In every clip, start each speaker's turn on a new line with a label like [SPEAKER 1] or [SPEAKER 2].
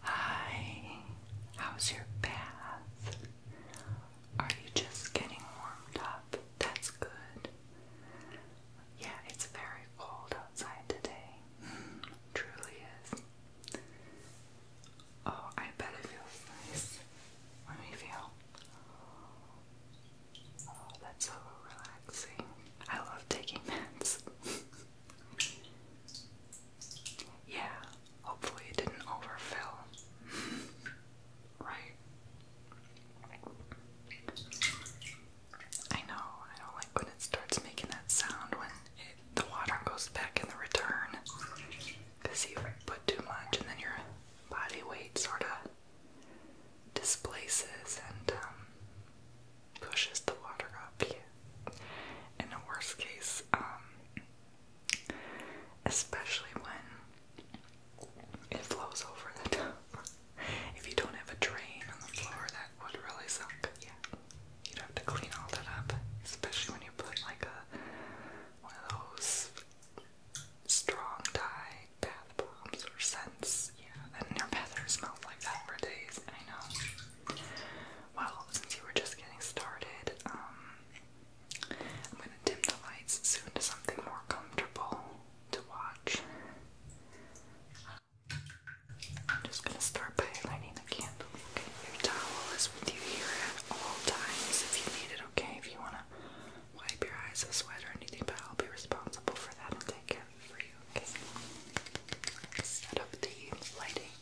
[SPEAKER 1] Hi, how's your bath? Are you just getting warmed up? That's good. Yeah, it's very cold outside today. Hmm, truly is. Oh, I bet it feels nice. Let me feel. Oh, that's so relaxing. I love taking meds. yeah, hopefully it didn't overfill. right? I know, I don't like when it starts making that sound when the water goes back in the return. Because you put too much and then your body weight sort of displaces and um, pushes the water up. In a worst case, um, especially when it flows over the top. if you don't have a drain on the floor, that would really suck. Yeah, you'd have to clean all that up, especially when you put like a one of those strong Thai bath bombs or scents. Yeah, and your bathroom smells like that for days. I know. Well, since you were just getting started, um, I'm gonna dim the lights soon to something more comfortable to watch. I'm just gonna start by lighting the candle. Okay, your towel is with you here at all times if you need it. Okay, if you wanna wipe your eyes of sweat or anything, but I'll be responsible for that and take care of you, okay? set up the lighting.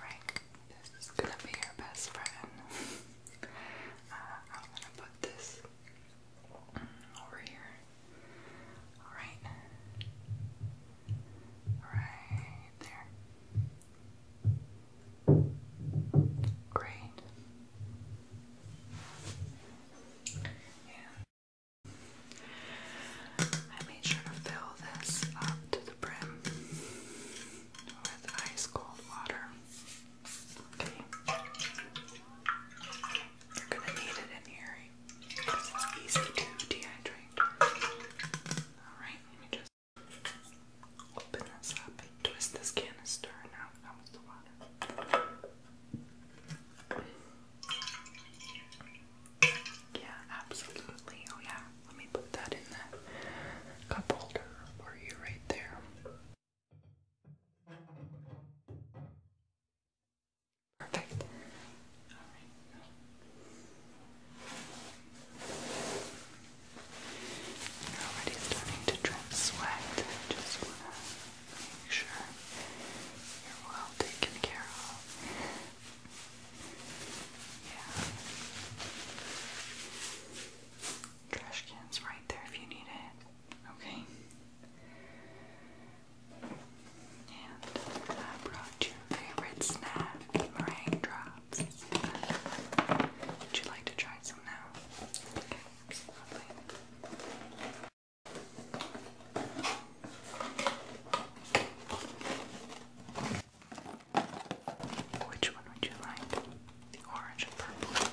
[SPEAKER 1] Alright, this is gonna be your best friend. Uh, I'm gonna put this over here. Alright. Right there. Great. And I made sure to fill this up to the brim with ice cold water. Okay. You're gonna need it in here because it's easy to dehydrate. Alright, let me just open this up and twist this canister. Now, that was water. Yeah, absolutely. Oh, yeah. Let me put that in the cup holder for you right there. Perfect. already starting to drip sweat. just wanna make sure you're well taken care of. Yeah. Trash can's right there if you need it. Okay. And I brought your favorite snack, meringue drops. Would you like to try some now? Okay, Which one would you like? the orange and purple ink.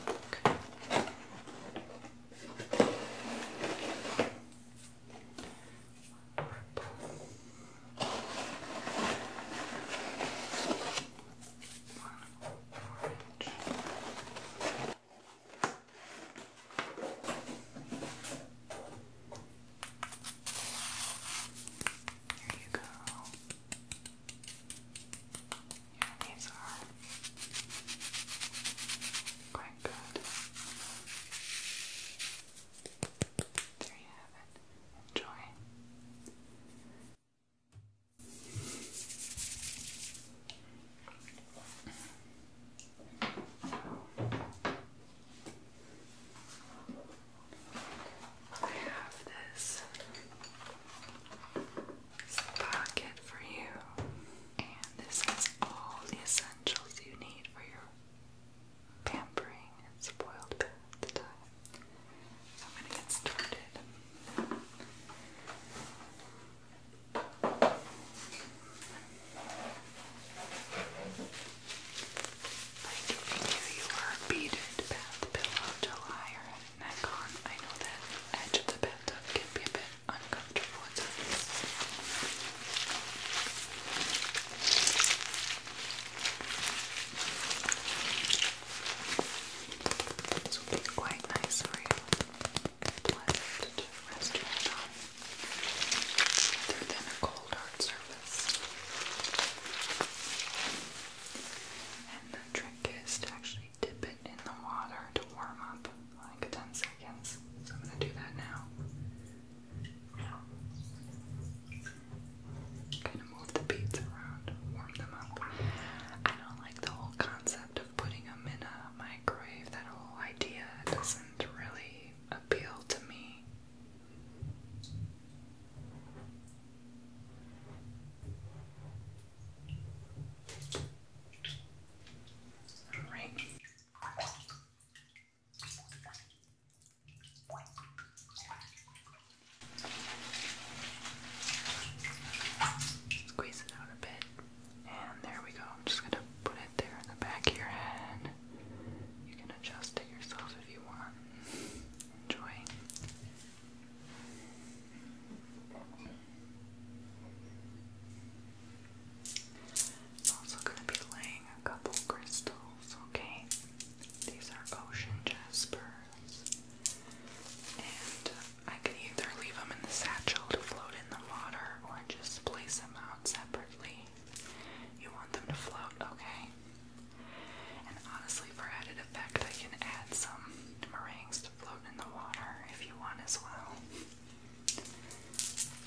[SPEAKER 1] you go. Yeah, these are quite good. There you have it. Enjoy. I have this pocket for you. And this is all the essentials you need for your pampering and spoiled bed time. So I'm gonna get started. Like if you knew you were beaded bath pillow to lie neck on. I know that edge of the bed can be a bit uncomfortable This will be quite nice for you. Pleasant to rest your head on than a cold hard surface. And the trick is to actually dip in the water to warm up like 10 seconds. So I'm going to do that now. Kind of move the beads around, warm them up. I don't like the whole concept of putting them in a microwave. That whole idea doesn't really appeal to me. All right. Squeeze it out a bit, and there we go. I'm just gonna put it there in the back of your head. You can adjust it yourself if you want. Enjoy. I'm also going to be laying a couple crystals, okay? These are ocean jaspers. And uh, I can either leave them in the satchel to float in the water or just place them out separately. You want them to float, okay? And honestly, for added effect, I can add some meringue just float in the water if you want as well.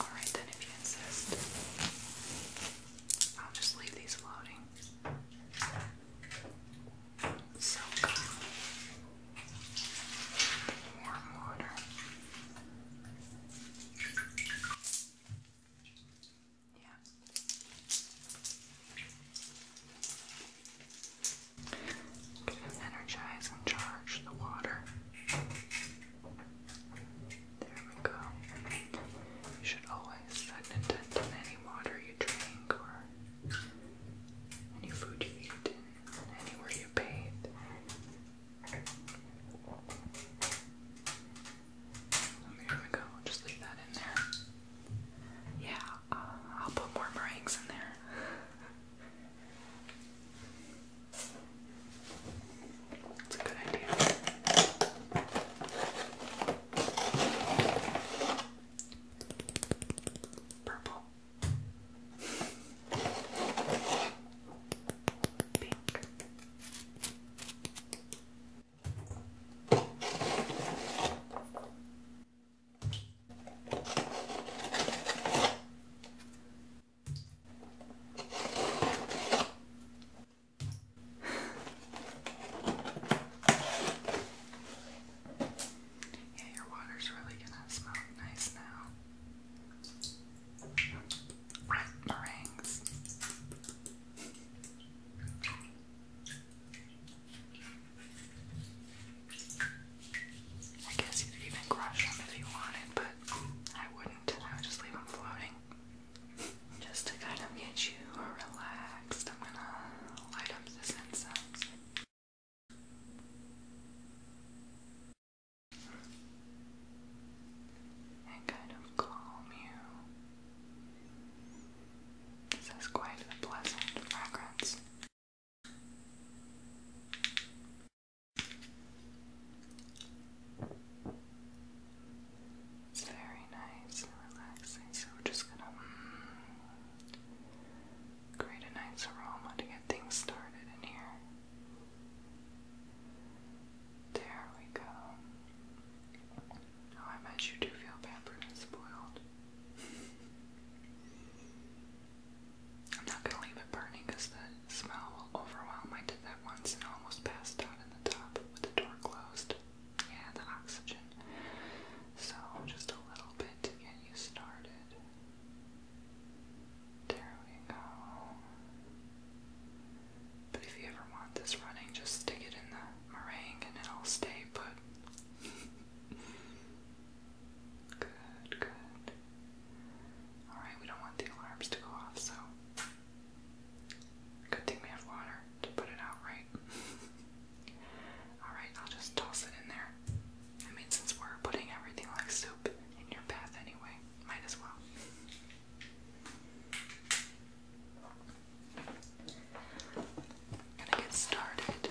[SPEAKER 1] Alright, then, if you insist, I'll just leave these floating. So calm. Warm water. Yeah. Gonna energize and charge the water. There we go. You should always set intent on any water you drink or any food you eat, anywhere you bathe. There we go. Just leave that in there. Yeah, uh, I'll put more meringues in there. It's a good idea. Purple. Pink. Yeah, your water's really gonna smell nice now. Right, meringues. I guess you could even crush them if you wanted, but I wouldn't. I would just leave them floating. Just to kind of get you relaxed, I'm gonna light up this incense. And kind of calm you. This is quite a pleasant fragrance very nice relaxing, so we're just gonna mm, create a nice aroma to get things started in here. There we go. Oh, I bet you do feel pepper is spoiled. I'm not gonna leave it burning because the smell will overwhelm. I did that once and almost passed out in the top with the door closed. Yeah, the oxygen. So just a little bit to get you started. There we go. But if you ever want this running, just stick it in the meringue and it'll stay put. Good, good. Alright, we don't want the alarms to go off, so. Good thing we have water to put it out, right? Alright, I'll just toss it in there. I mean, since we're putting everything like soup in your bath anyway, might as well i gonna get started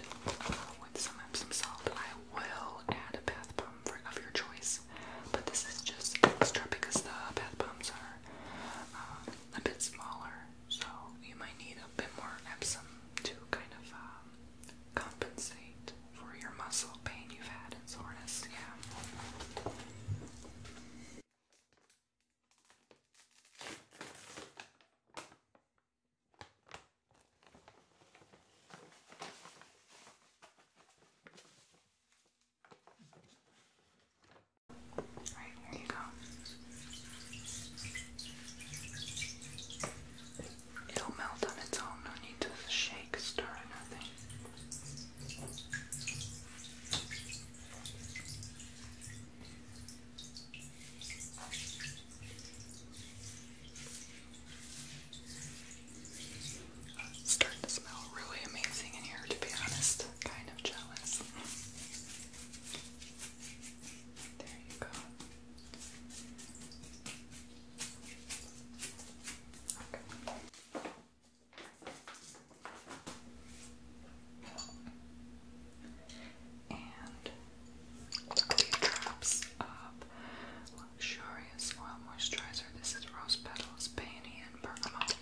[SPEAKER 1] with some Epsom salt. I will add a bath bomb for, of your choice, but this is just extra because the bath bombs are uh, a bit smaller, so you might need a bit more Epsom to kind of um, compensate for your muscle pain you've had and soreness. Yeah. Alright, here you go. It'll melt on its own, no need to shake, stir, or nothing starting to smell really amazing in here, to be honest. kind of jealous. there you go and it drops of luxurious oil moisturizer. This is rose petals, peony, and bergamot.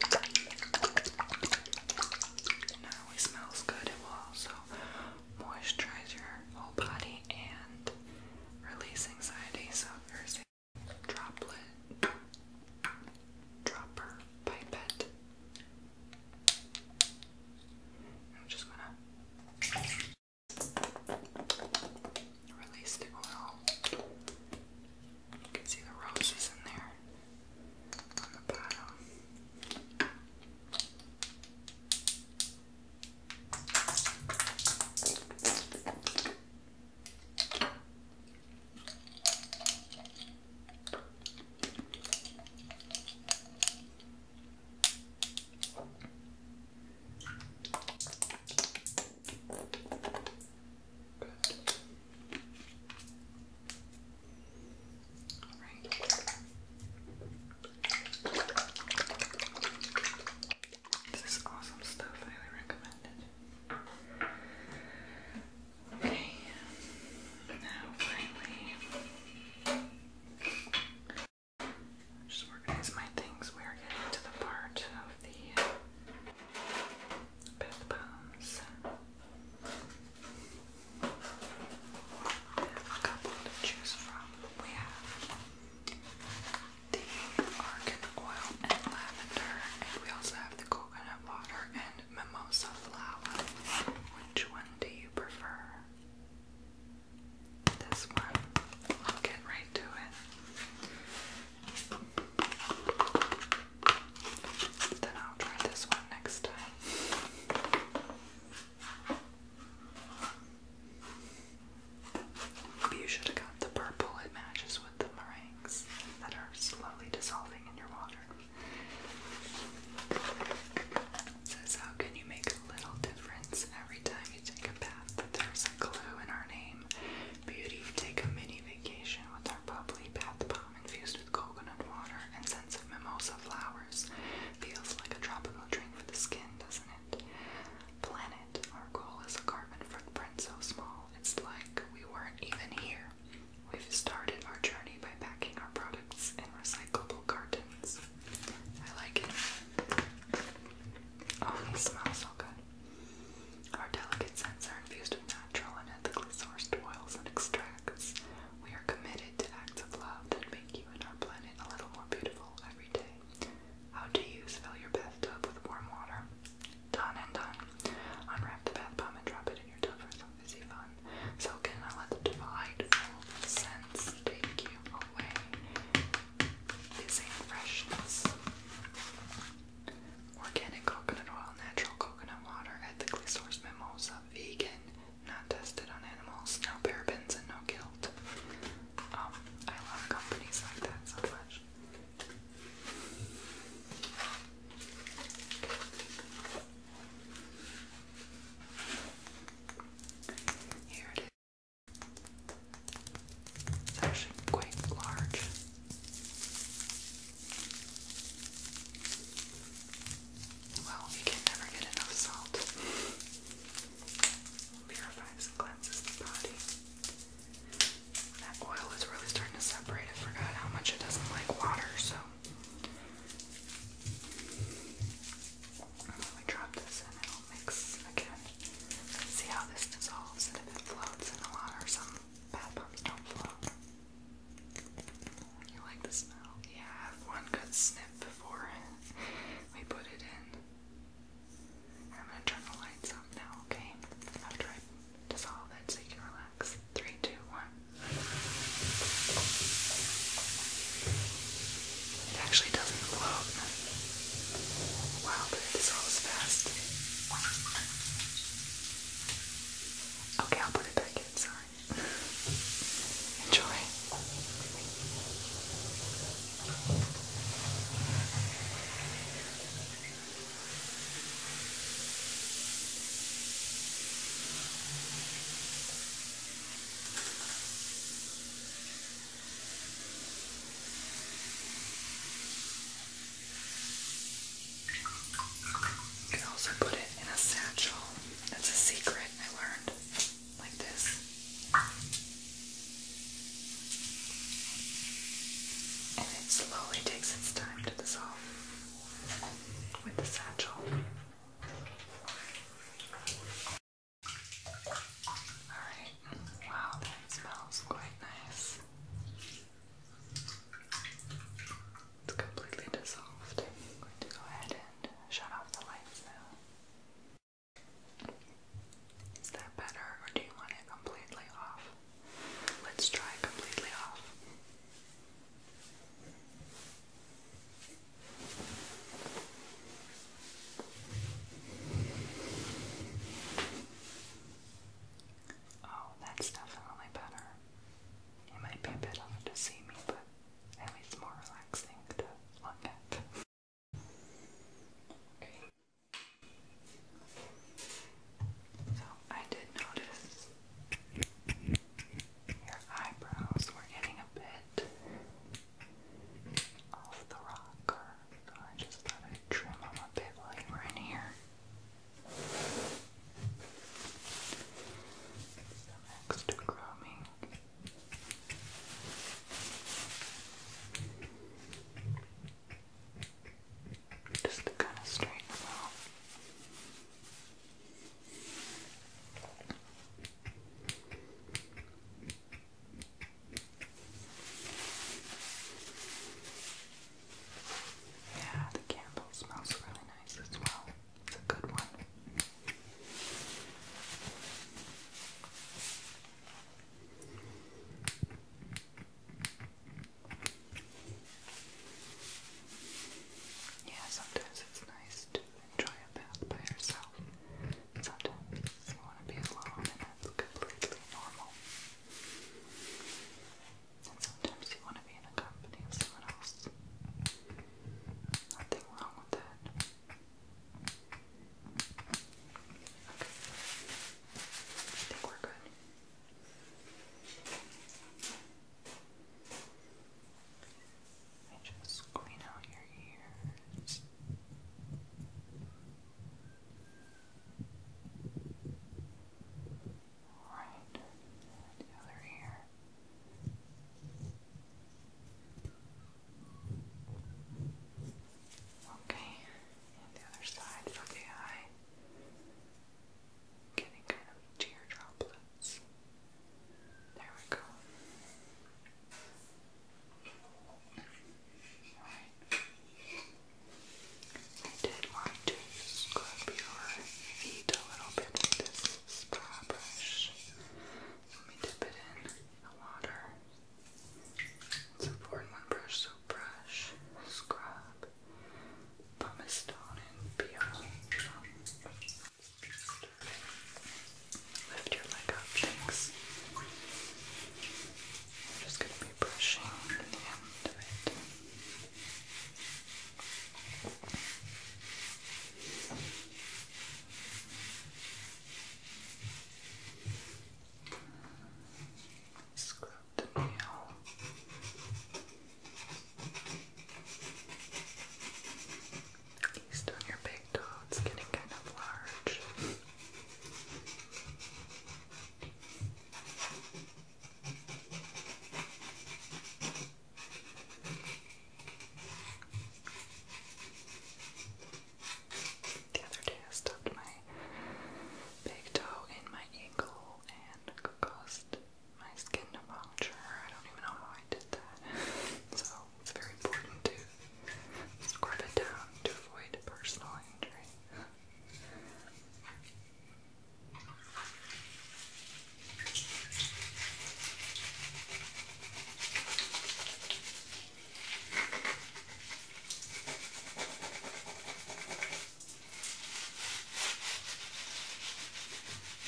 [SPEAKER 1] Not only smells good, it will also moisturize your whole body and release anxiety. So here's droplet, dropper, pipette. I'm just gonna release the oil. You can see the roses in there on the bottom. This is awesome stuff. highly recommend Okay. Now finally just organize my things. We are getting to the part of the bath bombs. a couple to choose from. We have the argan oil and lavender, and we also have the coconut water and mimosa flower. Which one do you prefer? This one. I'll get right to it. Then I'll try this one next time. Maybe you should have got the purple. It matches with the meringues that are slowly dissolving in your water. It says, How can you make a little difference every time you take a bath? But there's a clue in our name. Beauty, take a mini vacation with our bubbly bath bomb infused with coconut water and scents of mimosa flowers. Feels like a tropical drink for the skin, doesn't it? Planet, our goal is a carbon footprint so small, it's like we weren't even here. We've started our journey by backing our products in recyclable cartons. I like it. Oh, they smell so good. Our delicate scents are infused with natural and ethically sourced oils and extracts. We are committed to acts of love that make you and our planet a little more beautiful every day. How to use fill your bathtub with warm water. Done and done. Unwrap the bath bomb and drop it in your tub for is he fun? So can I let the divide delightful sense take you away? Is freshness. Organic coconut oil, natural coconut water, ethically sourced mimosa, vegan, not tested on animals, no parabens and no guilt. Um, I love companies like that so much. Here it is. It's actually quite large. Well, you can never get enough salt. Purifies and cleanses the body. That oil is really starting to separate. I forgot how much it doesn't like water, so let me drop this and it'll mix again. See how this dissolves and if it floats in the water. Some bath bombs don't float. You like the smell? Yeah, one good sniff before we put it in. I'm gonna turn the lights up now, okay? After I dissolve it so you relax. Three, two, one. It actually doesn't flow. Wow, but it fast. Okay, I'll put it back in, Enjoy. You can also put it in a satchel. That's a secret I learned. Like this. And it slowly takes its time to dissolve with the satchel. Alright, wow, that smells quite nice. It's completely dissolved. I'm going to go ahead and shut off the lights now. Is that better, or do you want it completely off? Let's try completely off. Oh, that's definitely better. It might be a bit hard to see me, but at least more relaxing to look at. Okay. So I did notice your eyebrows were getting a bit off the rocker, so I just thought i trim them a bit while you were in here. Some grooming. Just to kind of straighten them out. Yeah, the candle smells really nice as well. It's a good one. Yeah, sometimes it's nice to enjoy a bath by yourself. Sometimes you want to be alone, and that's completely normal. And sometimes you want to be in the company of someone else. Nothing wrong with that. Okay. I think we're good. And just clean out your ears. Alright, the other ear. Okay, the other side for the getting kind of tear There we go. I did want to scrub your feet a little bit with this spa brush. Let me dip it in the water. It's a four in one brush, so brush, scrub, pumice stone, and peel. Lift your leg up, thanks. I'm just going to be brushing the end of it. Scrub the nail. East on your big toe, it's getting kind of large. The other day I stuffed my big toe in my ankle and caused my skin puncture. I don't even know how I did that. so it's very important to scrub it down to avoid personal injury.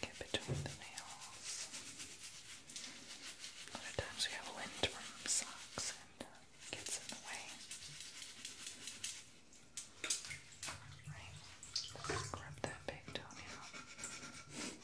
[SPEAKER 1] Get between the nails. A lot of times we have wind from socks and uh, gets in the way. Right. Grab that big toenail.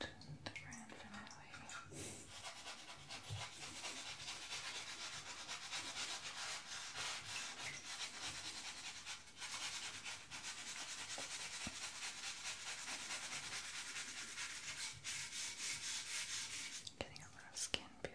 [SPEAKER 1] and the Getting a lot skin peeled.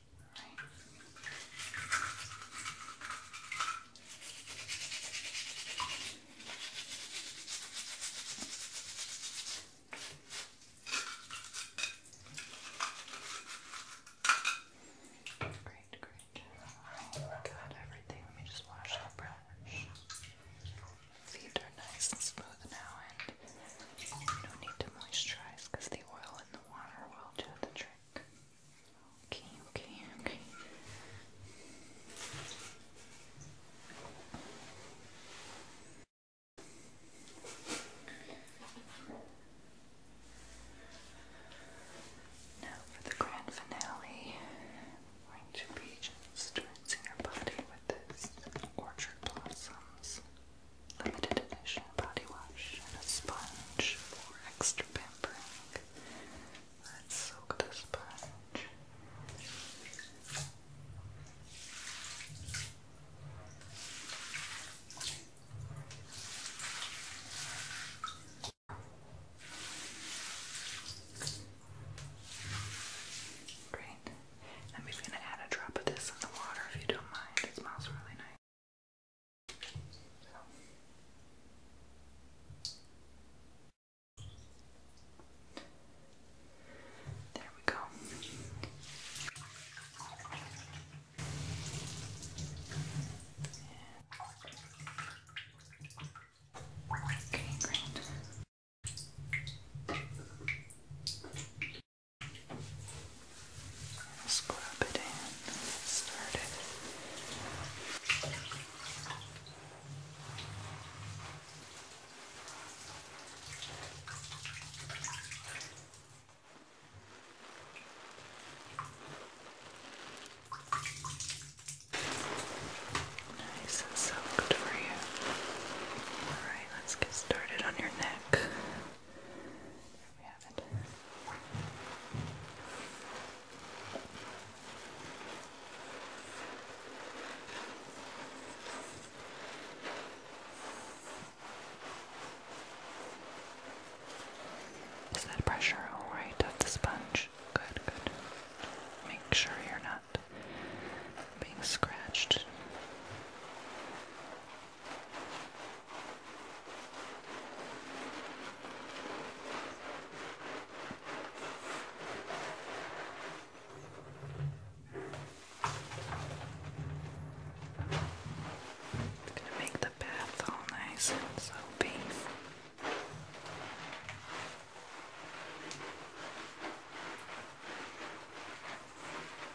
[SPEAKER 1] Right. Great, great. Alright, got everything. Let me just wash the brush. Feet are nice and smooth now, and you don't need to moisturize because the oil in the water will do the trick. Okay, okay, okay. Now for the grand finale, I'm going to be just rinsing your body with this orchard blossoms. Okay limited edition body wash and a sponge for extra pampering. Let's soak the sponge. Great. And we're going to add a drop of this in the water if you don't mind. It smells really nice. There we go. Okay, great. Scrub it in, start Nice and soaked for you. Alright, let's get started on your neck we that pressure all right of the sponge? Good, good. Make sure you're not being scratched. It's going to make the bath all nice and soapy.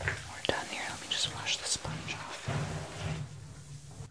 [SPEAKER 1] We're done here. Let me just wash the sponge off.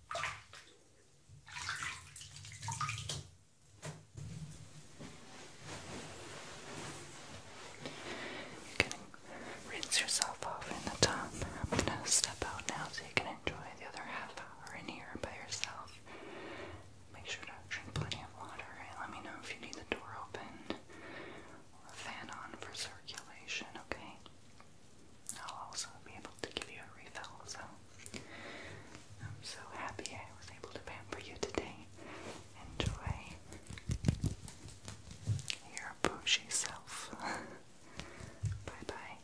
[SPEAKER 1] You can rinse yourself off in the tub. I'm gonna step out now so you can enjoy the other half hour in here by yourself. Make sure to drink plenty of water and let me know if you need the door open fan on for circulation, okay? I'll also be able to give you a refill, so I'm so happy I was able to pamper you today. Enjoy your bougie self. bye bye.